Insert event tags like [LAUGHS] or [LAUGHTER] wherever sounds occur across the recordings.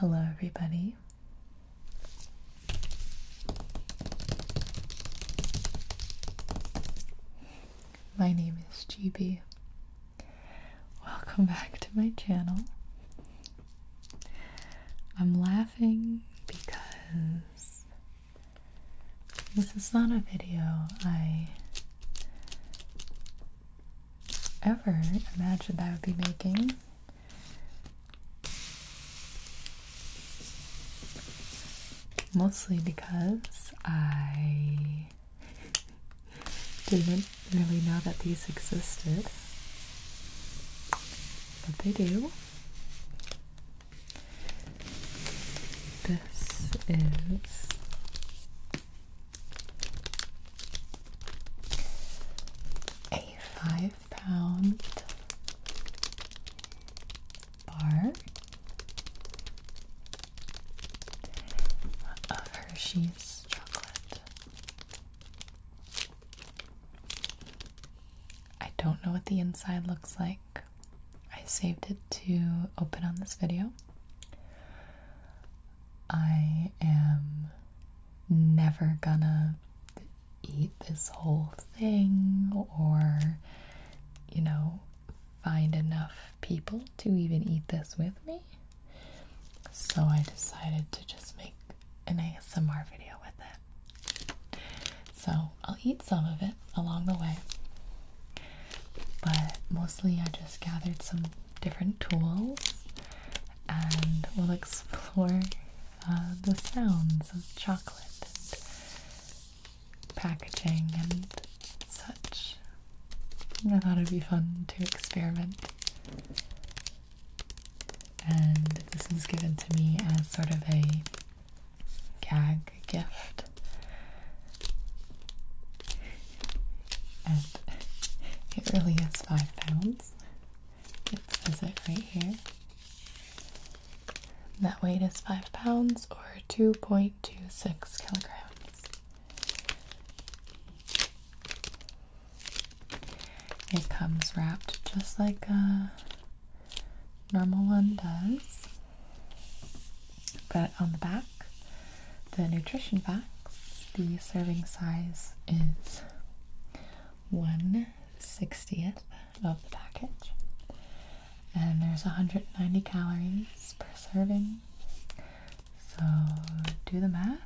Hello, everybody. My name is GB. Welcome back to my channel. I'm laughing because this is not a video I ever imagined I would be making. Mostly because I [LAUGHS] didn't really know that these existed. But they do. This is a five pound bar of Hershey's chocolate. I don't know what the inside looks like. I saved it to open on this video. I am never gonna eat this whole thing or, you know, find enough people to even eat this with me. So I decided to just make an ASMR video with it. So I'll eat some of it along the way. But mostly I just gathered some different tools and we'll explore uh, the sounds of chocolate and packaging and such. I thought it'd be fun to experiment. And this was given to me as sort of a gag a gift. And it really is five pounds. It says it right here. That weight is five pounds or 2.26 kilograms. It comes wrapped just like a normal one does. But on the back, the nutrition facts, the serving size is 1 60th of the package. And there's 190 calories per serving. So do the math.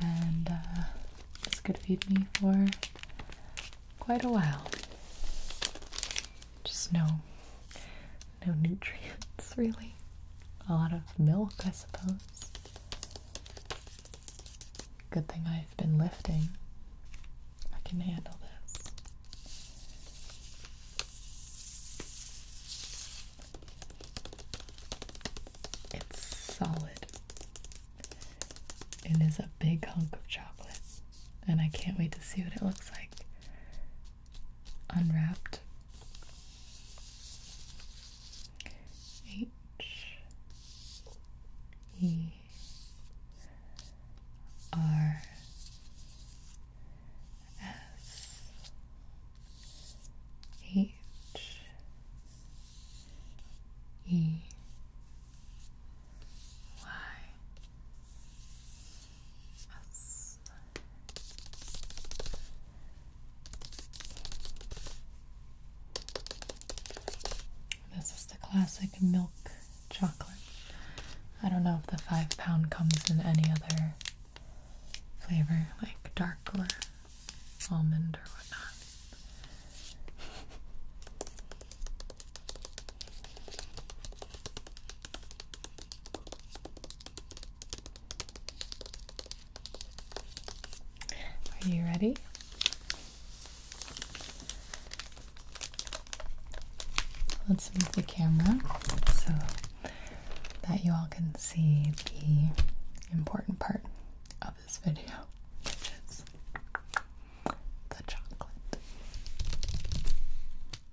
And uh, this could feed me for quite a while just no no nutrients [LAUGHS] really. A lot of milk, I suppose. Good thing I've been lifting. I can handle this. It's solid. It is a big hunk of chocolate and I can't wait to see what it looks like unwrapped. H E R S H E Y this is the classic milk chocolate. I don't know if the five pound comes in any other flavor, like dark or almond or whatnot. Are you ready? Let's move the camera so that you all can see the important part of this video, which is the chocolate.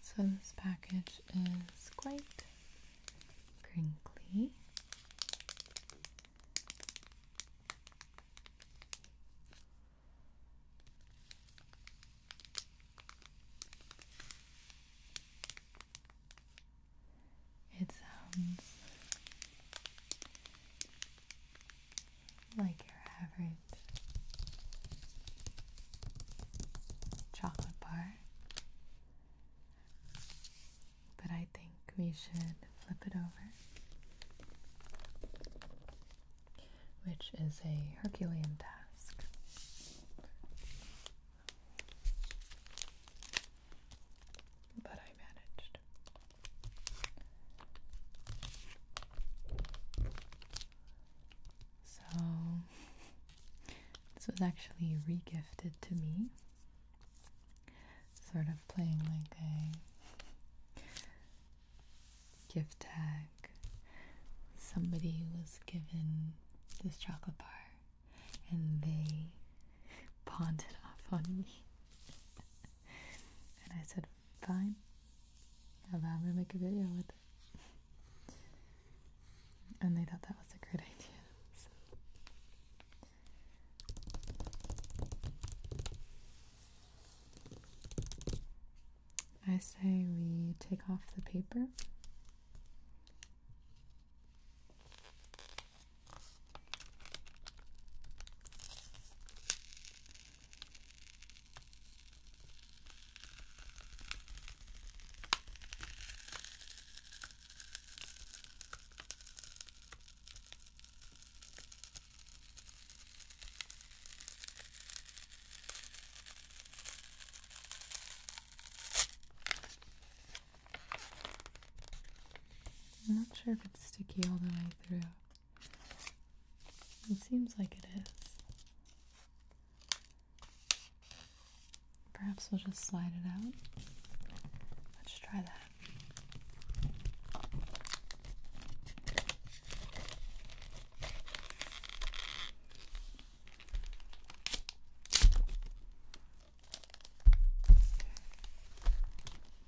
So this package is quite crinkly. It sounds um, like your average chocolate bar. But I think we should flip it over. Which is a Herculean task. But I managed. So, this was actually regifted to me. Sort of playing like a gift tag. Somebody was given this chocolate bar and they pawned it off on me. and I said, fine, allow me to make a video with it. And they thought that was a great idea. So. I say we take off the paper I'm not sure if it's sticky all the way through. It seems like it is. Perhaps we'll just slide it out. Let's try that.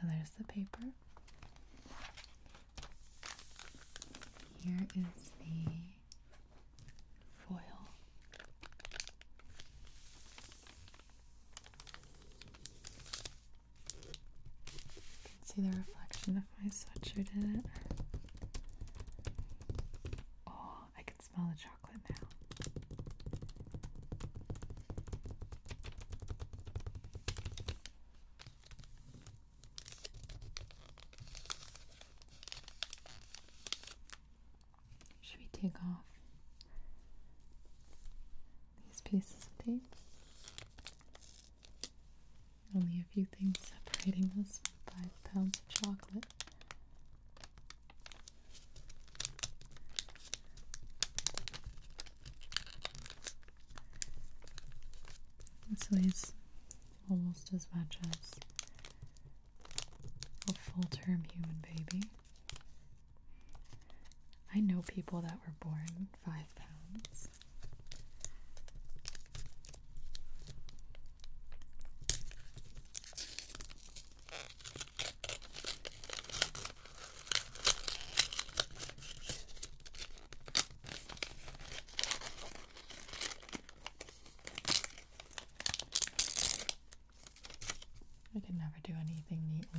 So there's the paper. Here is the foil can see the reflection of my sweatshirt in it. Oh, I can smell the chocolate now. Should we take off these pieces of tape? Only a few things separating us from five pounds of chocolate. This weighs almost as much as a full term human baby. I know people that were born five pounds. I can never do anything neatly.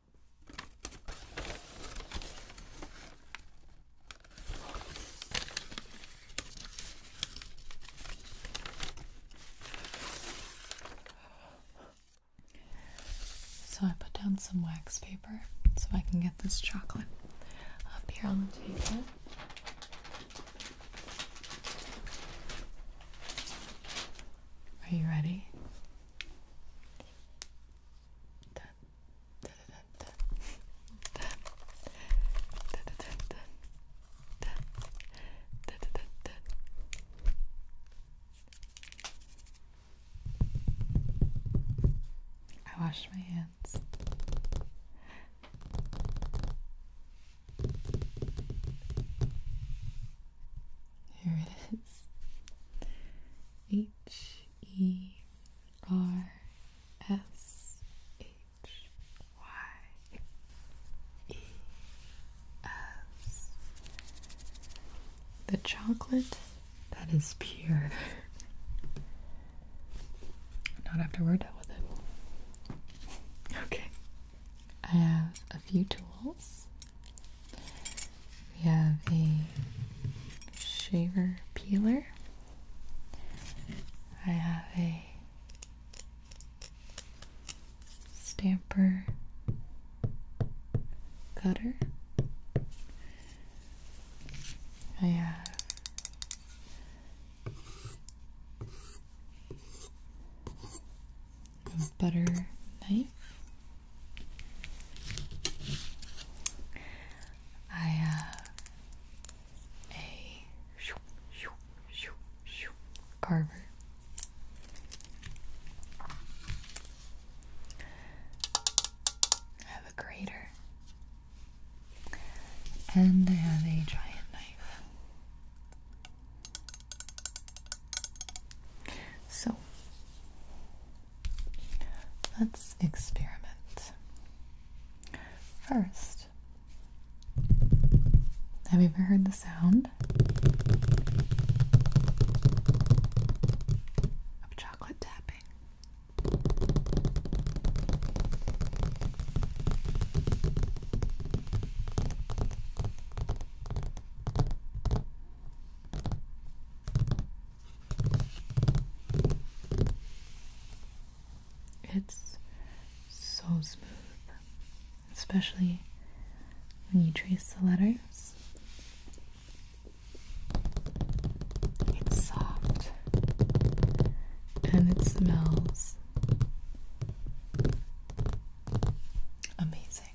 So I put down some wax paper so I can get this chocolate up here on the table. Are you ready? I washed my hands. Here it H E R S H Y E S. The chocolate that is pure. Not after we're done it. Okay. I have a few tools. We have a shaver peeler. I have a stamper cutter. I have a butter knife. I have a shoo, shoo, shoo, shoo, carver. I have a grater. And I have a giant knife. So let's experiment. First, have you ever heard the sound of chocolate tapping? It's so smooth, especially when you trace the letters. It's soft and it smells amazing.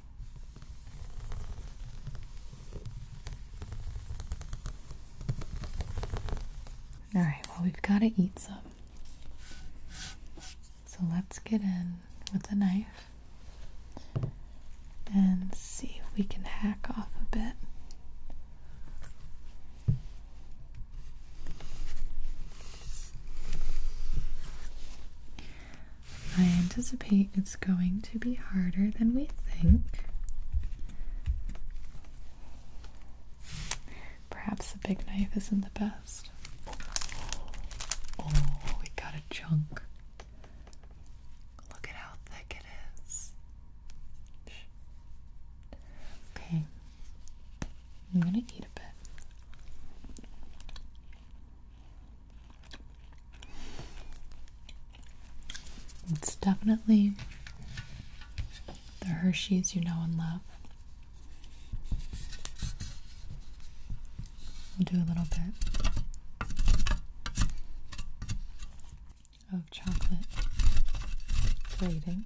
Alright, well, we've got to eat some. So let's get in with a knife and see if we can hack off a bit. I anticipate it's going to be harder than we think. Perhaps the big knife isn't the best. Oh, we got a chunk. Look at how thick it is. Okay, I'm gonna eat a bit. It's definitely the Hershey's you know and love. We'll do a little bit of chocolate grating.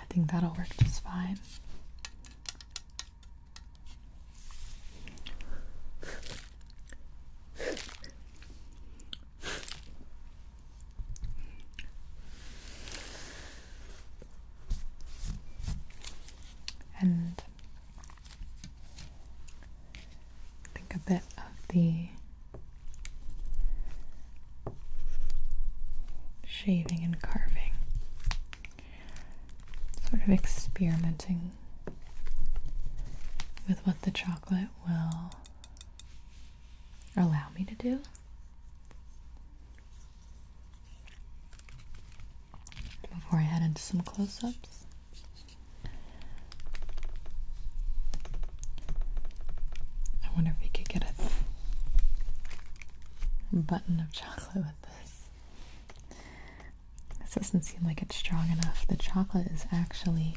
I think that'll work just fine. And think a bit of the shaving and carving, sort of experimenting with what the chocolate will allow me to do. Before I head into some close ups, I wonder if we could get a button of chocolate with this. This doesn't seem like it's strong enough. The chocolate is actually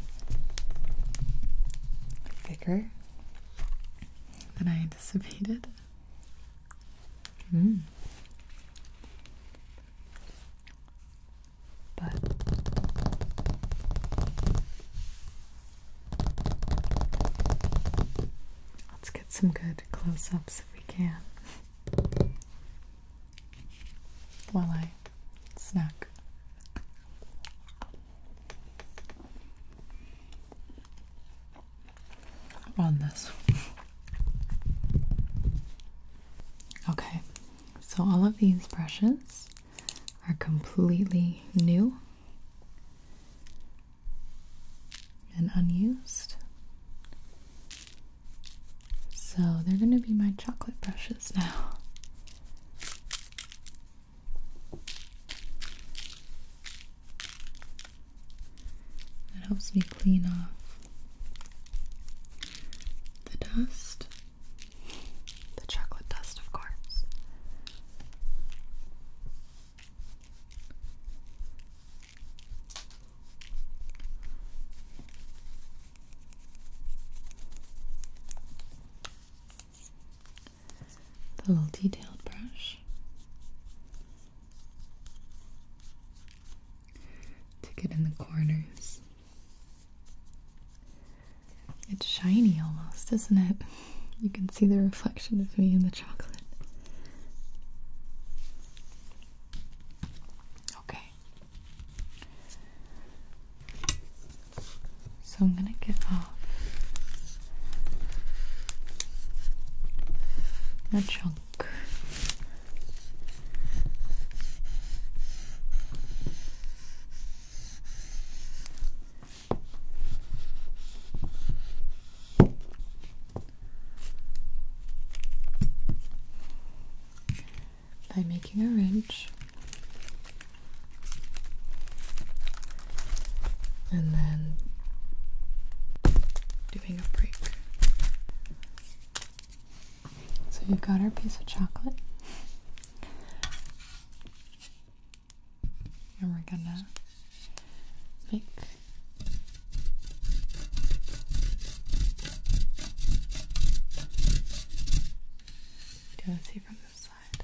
thicker than I anticipated. Hmm. But Let's get some good close ups if we can. While I snack. On this. Okay, so all of these brushes are completely new and unused. So they're going to be my chocolate brushes now. It helps me clean off the dust, the chocolate dust, of course. The little detailed brush to get in the corners it's shiny almost, isn't it? You can see the reflection of me in the chocolate. Okay. So I'm going to get off a chunk by making a ridge and then doing a break. So we've got our piece of chocolate and we're gonna make do let see from this side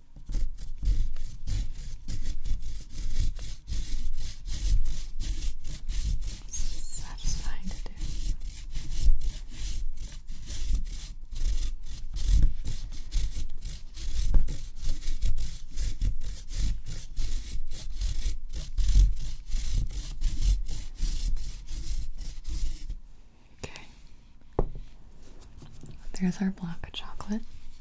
satisfying to do. Okay. There's our block of chocolate.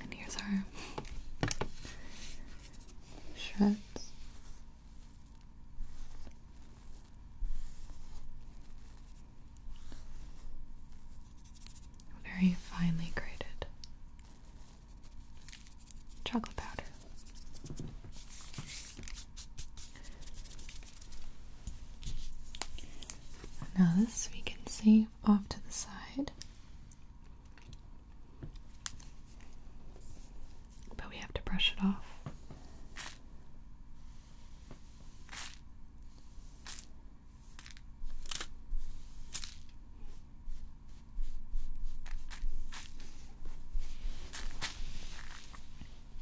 And here's our shreds. Very finely grated chocolate powder. Now, this we can save off to the side, but we have to brush it off.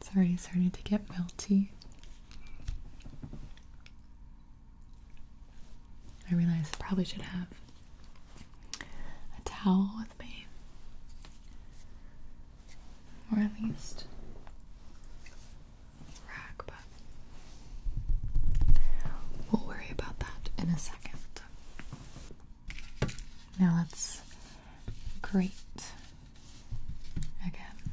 It's already starting to get melty. I realize I probably should have a towel with me, or at least a rag, but we'll worry about that in a second. Now let's grate again.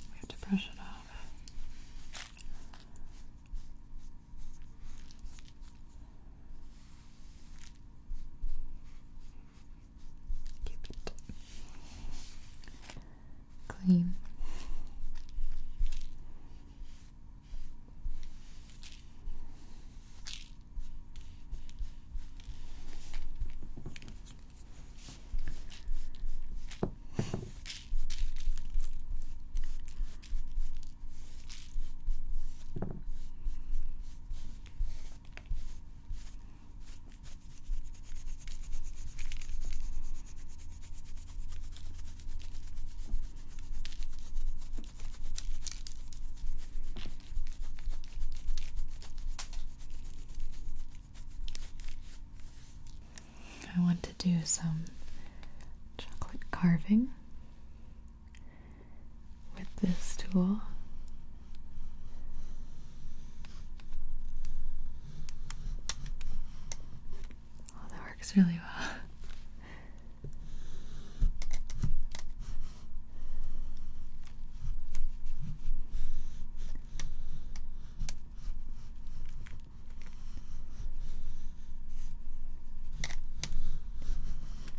We have to brush it off. Keep it clean. I want to do some chocolate carving with this tool. Oh, that works really well.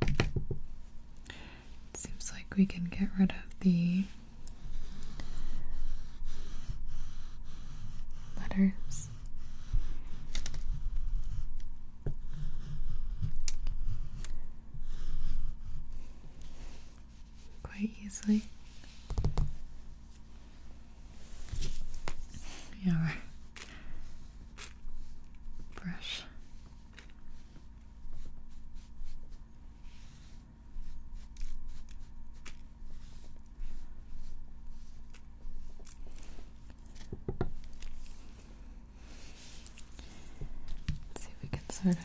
It seems like we can get rid of the letters. Quite easily. Yeah, brush. see if we can sort of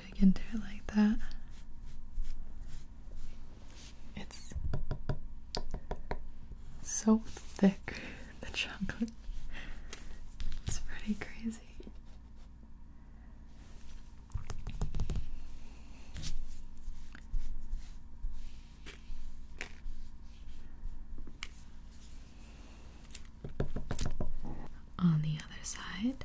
Dig into it like that. It's so thick, the chocolate. It's pretty crazy. On the other side,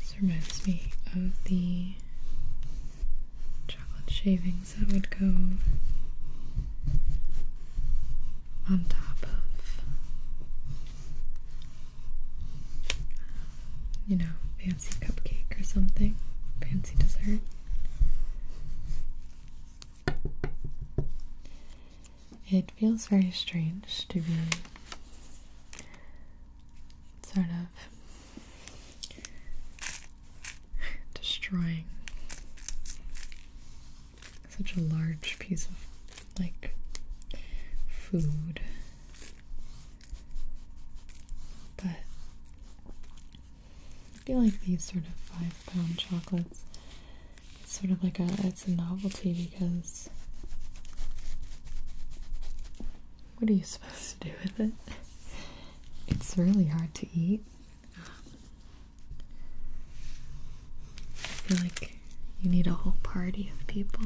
this reminds me of the chocolate shavings that would go on top of, you know, fancy cupcake or something, fancy dessert. It feels very strange to be sort of destroying such a large piece of like food. But I feel like these sort of five pound chocolates it's sort of like a it's a novelty because what are you supposed to do with it? It's really hard to eat. I feel like you need a whole party of people.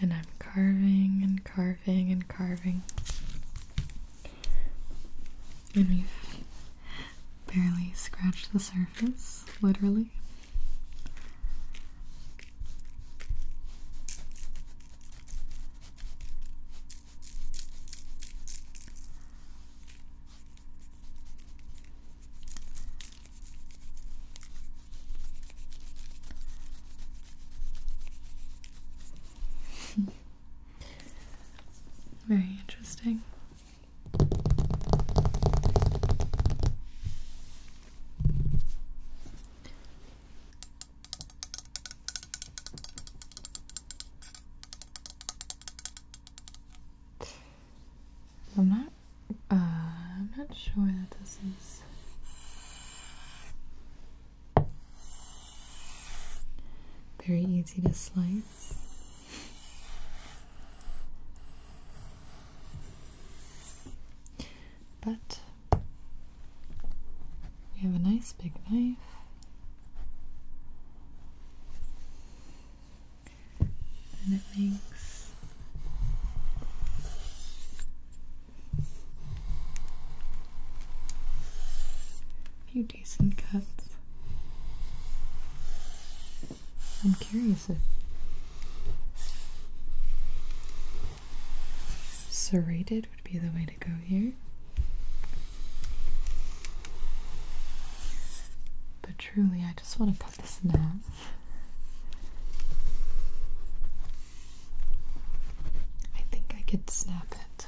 And I'm carving and carving and carving. And we've barely scratched the surface, literally. [LAUGHS] Very interesting. I'm not uh, I'm not sure that this is very easy to slice. But we have a nice big knife. And it makes a few decent cuts. I'm curious if serrated would be the way to go here. But truly, I just want to cut this in half. I think I could snap it.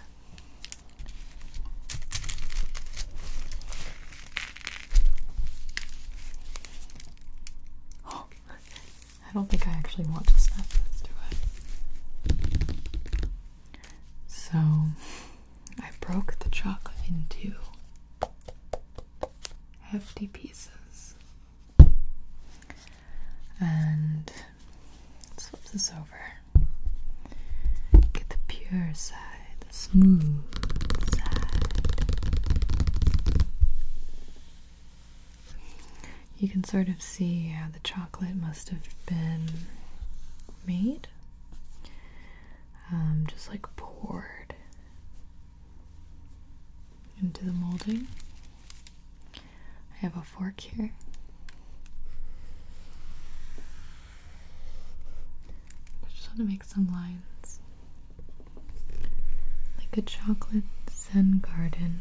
[GASPS] [LAUGHS] I don't think I actually want to snap this, do I? So I broke the chocolate into hefty pieces. And flip this over. Get the pure side, smooth side. You can sort of see how the chocolate must have been made, um, just like poured into the molding. I have a fork here. I just want to make some lines. Like a chocolate sun garden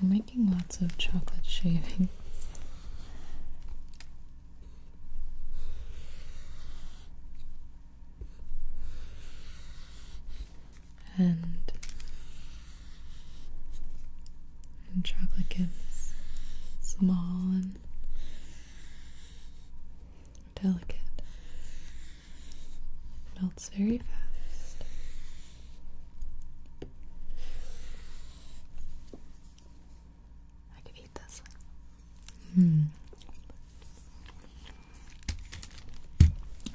I'm making lots of chocolate shavings and, and chocolate gets small and delicate. melts very fast. I could eat this. Hmm.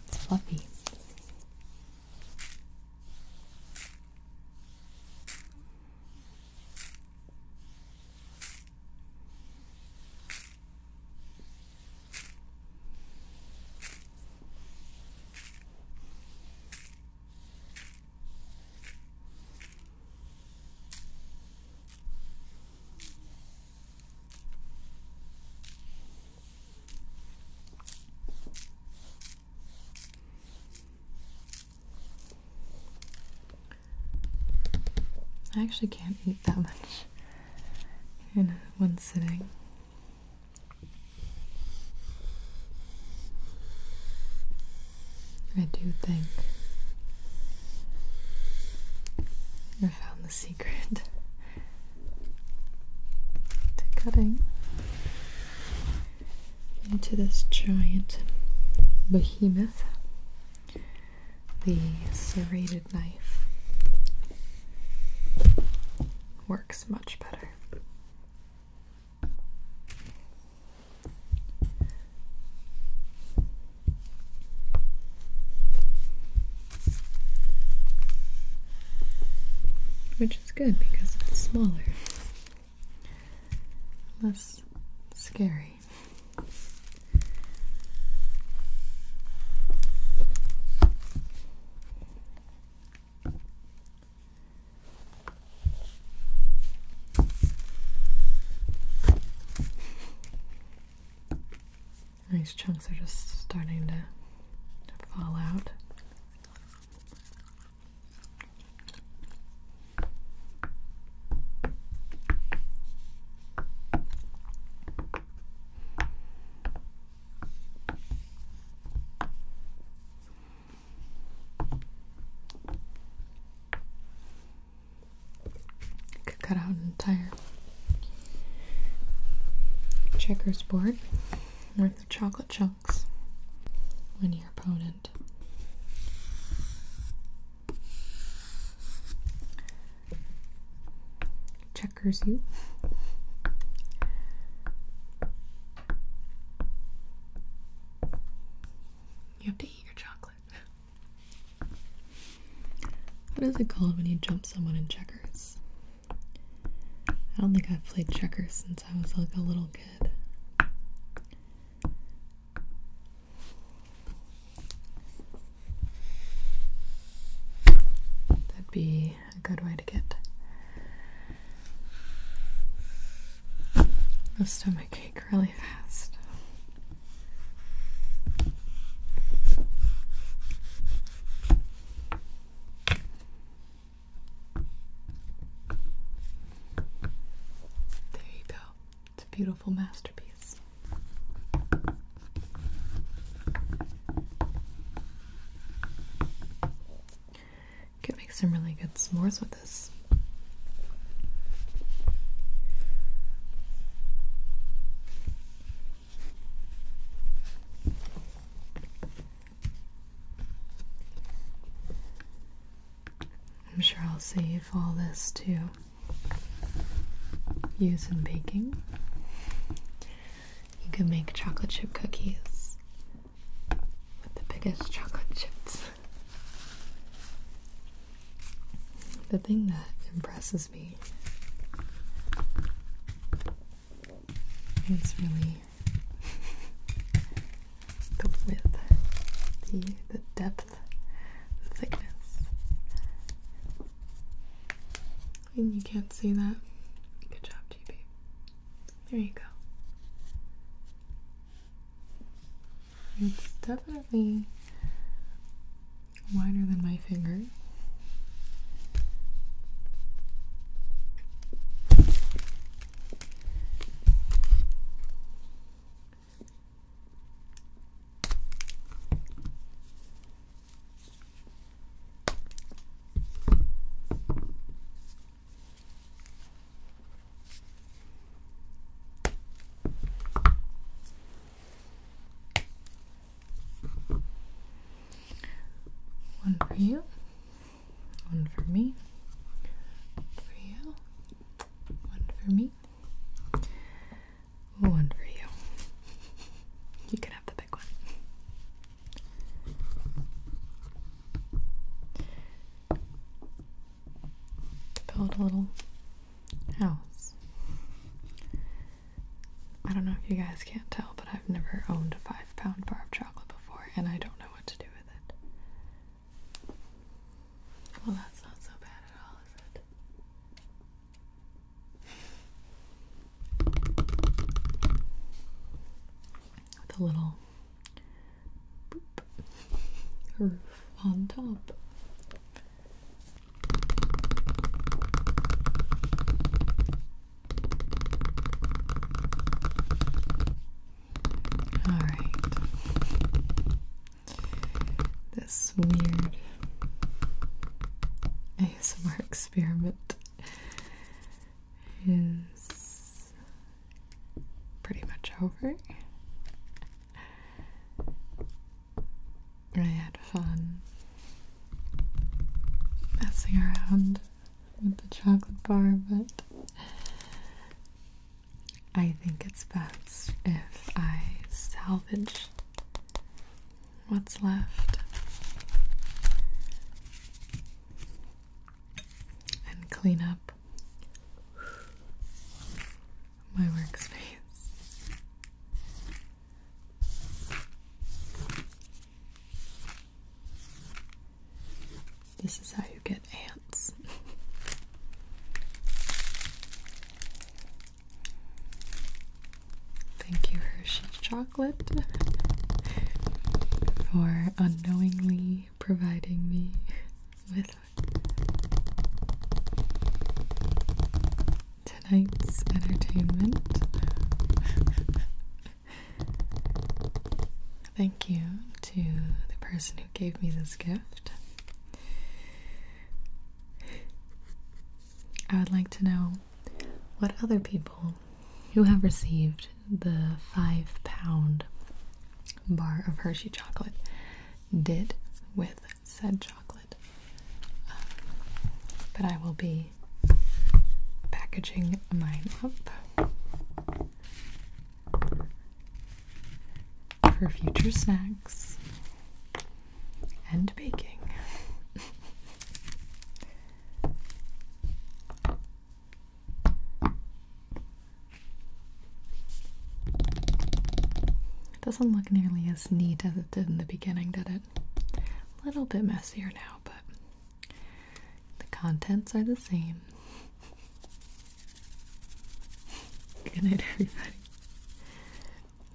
It's fluffy. I actually can't eat that much in one sitting. I do think I found the secret to cutting into this giant behemoth the serrated knife works much better. Which is good because it's smaller, less scary. These chunks are just starting to, to fall out. Could cut out an entire checkers board worth of chocolate chunks when your opponent checkers you. You what is it called when you jump someone in checkers? I don't think I've played checkers since I was like a little kid. That'd be a good way to get a stomach really fast. There you go. It's a beautiful masterpiece. You could make some really good s'mores with it. I'm sure I'll save all this to use in baking. You can make chocolate chip cookies with the biggest chocolate chips. The thing that impresses me is really [LAUGHS] the width, the the depth, the thickness. And you can't see that. Good job, GP. There you go. It's definitely wider than my finger. One for you, one for me, one for you, one for me, one for you. You can have the big one build a little house. I don't know if you guys can't tell, but I've never owned a five pound bar of chocolate before, and I don't know what to do with it. Well, that's not so bad at all, is it? With a little roof on top. All right. This weird ASMR experiment is pretty much over. I had fun messing around with the chocolate bar, but I think it's best if I salvage what's left and clean up up my workspace. This is how you get ants. Thank you, Hershey's Chocolate, for unknowingly providing me with tonight's entertainment. Thank you to the person who gave me this gift. I would like to know what other people who have received the five pound bar of Hershey chocolate did with said chocolate. Um, but I will be packaging mine up for future snacks and baking. [LAUGHS] It doesn't look nearly as neat as it did in the beginning, did it? A little bit messier now, but the contents are the same. [LAUGHS] Good night, everybody.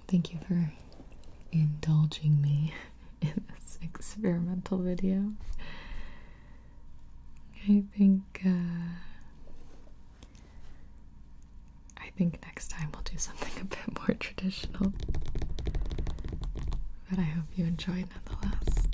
Thank you for indulging me [LAUGHS] in this experimental video. I think uh, I think next time we'll do something a bit more traditional. But I hope you enjoyed nonetheless.